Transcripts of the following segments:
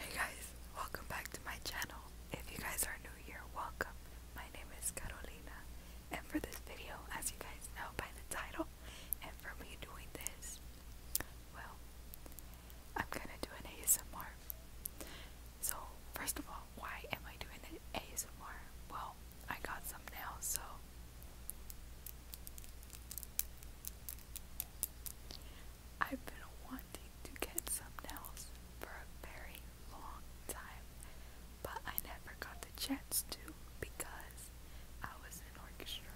Hey guys, welcome back to my channel. If you guys are new here, welcome. My name is Carolina, and for this video, as you guys know by the title, and for me doing this, well, I'm gonna do an ASMR. So, first of all, why am I doing an ASMR? Well, I got some nails, so I've been wanting to get some nails for a very long time, but I never got the chance to because I was in orchestra.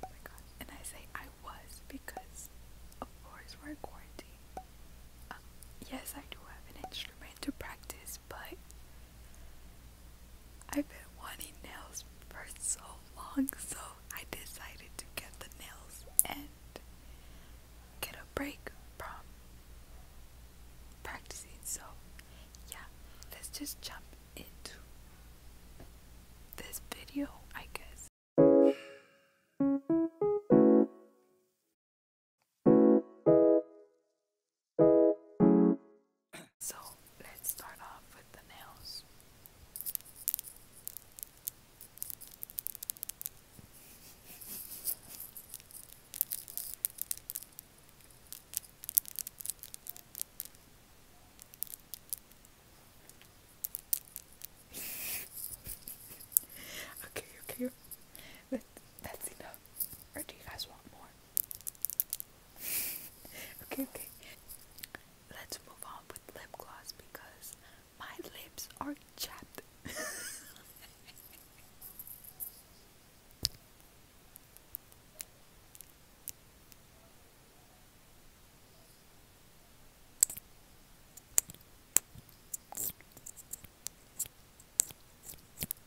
Oh my god. And I say I was because, of course, we're quarantined. Um, yes, I do have an instrument to practice, but I've been wanting nails for so long, so I decided to get the nails and get a break from practicing. So, yeah, let's just jump into this video, I guess. so let's start off with the nails. okay, okay, that, that's enough. Or do you guys want more? okay, okay. Let's move on with lip gloss because my lips are chapped.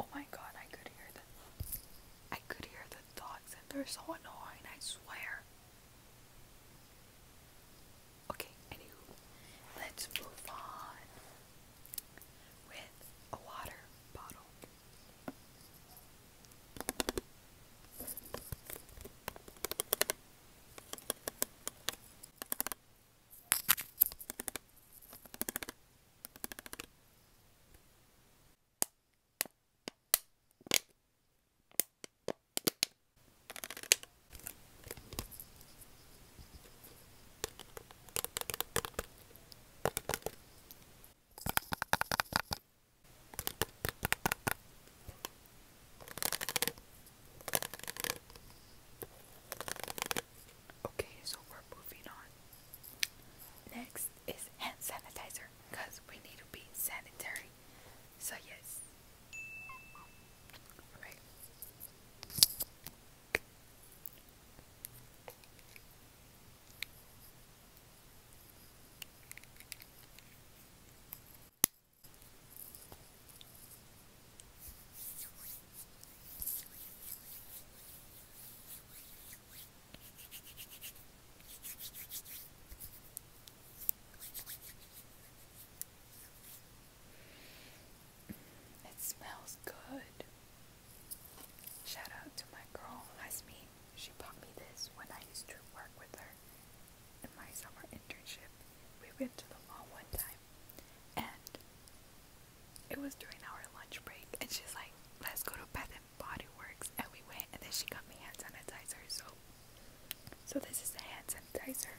Oh my god, I could hear the I could hear the dogs and they're so annoying, I swear. Okay, anywho, let's move on with a water bottle. Okay, so we're moving on. Next is hand sanitizer because we need to be sanitary. So yes. Alright. It smells good. Shout out to my girl, Lasmi. She bought me this when I used to work with her in my summer internship. We went to the mall one time and it was during our lunch break and she's like, let's go to Bath and Body Works and we went and then she got me hand sanitizer so so this is the hand sanitizer.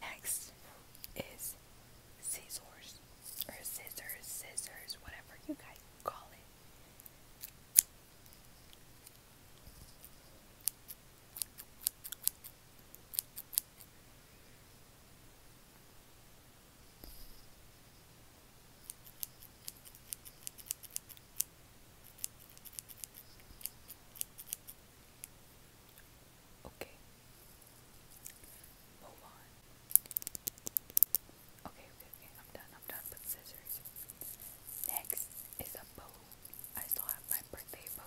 Next is scissors or scissors, scissors, whatever you guys call it. Okay. Move on. Okay, okay, I'm done. I'm done with scissors. Next is a bow. I still have my birthday bow.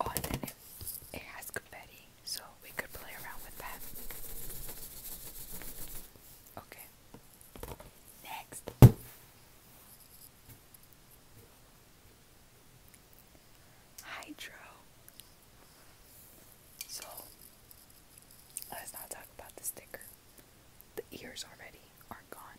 Oh, and it, has confetti, so we could play around with that. Okay. Next. Hydro. So, let's not talk about the sticker. The ears already are gone.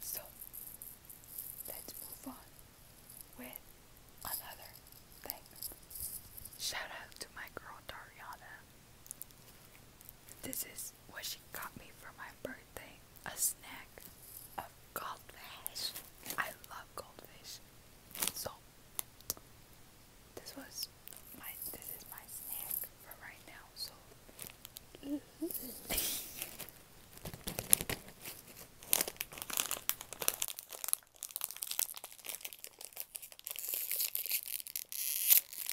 So let's move on with another thing. Shout out to my girl Dariana. This is is what she got me for my birthday a snack of goldfish. I love goldfish. So this was my this is my snack for right now. So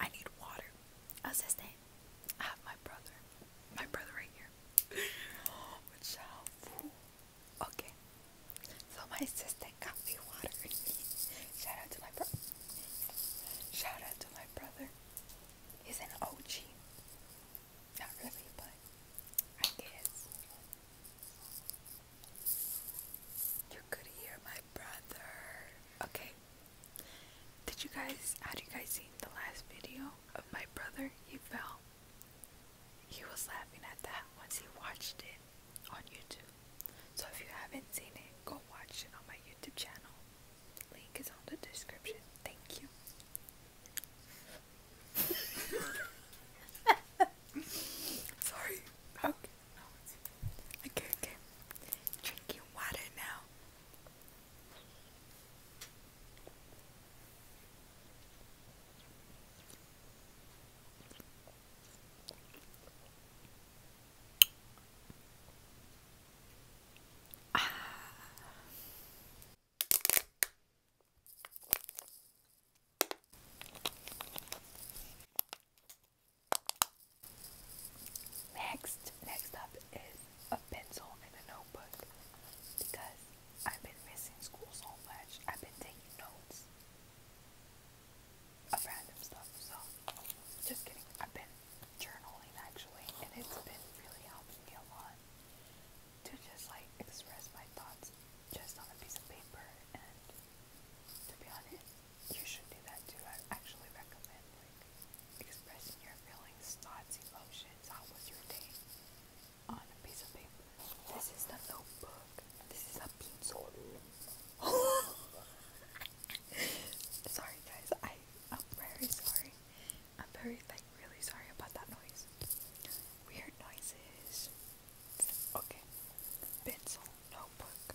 I need water. Assistant. I have my brother. My brother right here. Oh, child fool. Okay. So my assistant got me water. Shout out to my brother. Shout out to my brother. He's an OG. Not really, but I guess. You could hear my brother. Okay, did you guys, how you guys see the last video of my brother? He fell. He was laughing at that once he watched it on YouTube. So if you haven't seen it, go watch it on my YouTube channel. Link is on the description. Thank you. Sorry. Okay. Oh, okay, okay. Drinking water now. Ah. Next, next up is a pencil and a notebook because I've been missing school so much. I've been taking notes of random stuff. So, just kidding. I've been journaling actually, and it's been really helping me a lot to just like express my thoughts just on a piece of paper to be honest, you should do that too. I actually recommend like expressing your feelings, thoughts, emotions. How your day on a piece of paper? This is the notebook. This is a pencil. sorry guys, I I'm very sorry. I'm very like really sorry about that noise. Weird noises. Okay. Pencil, notebook,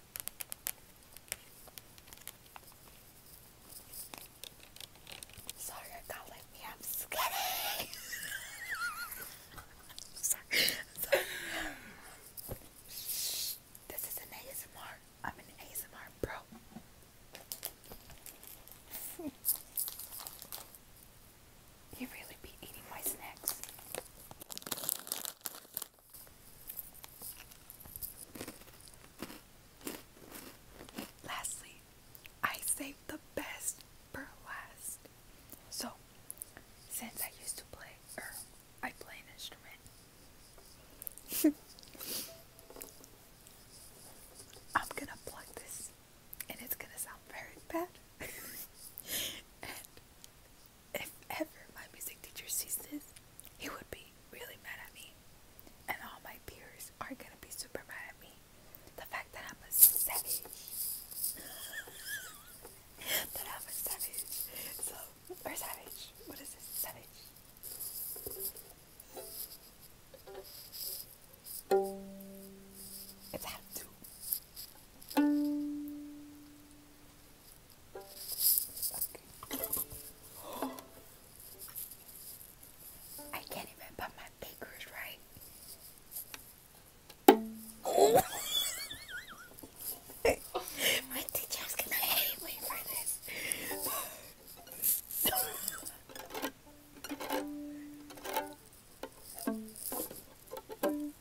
Sorry, you me. I'm skinny. sorry. Shh. This is an ASMR. I'm an ASMR bro. You really be eating my snacks. Lastly, I saved the best for last. So, since I used to play, er, I play an instrument, I'm gonna plug this, and it's gonna sound very bad. if ever my music teacher sees this, he would be really mad at me. And all my peers are gonna be super mad at me. The fact that I'm a savage. that I'm a savage. So, or savage. What is this? Savage. It's hot too. I can't even put my fingers right. Oh. my teacher's gonna hate me for this.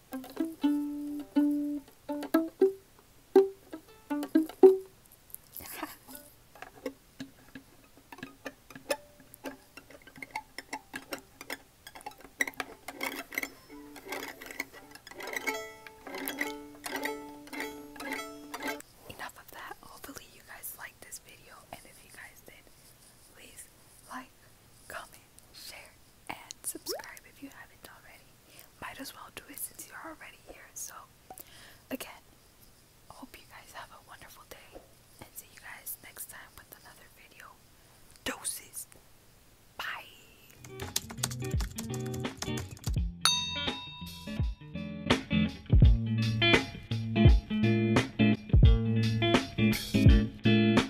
Enough of that. Hopefully, you guys liked this video, and if you guys did, please like, comment, share, and subscribe if you haven't already. Might as well do it since you're already here. So, again, hope you guys have a wonderful day and see you guys next time with another video. Doses! Bye!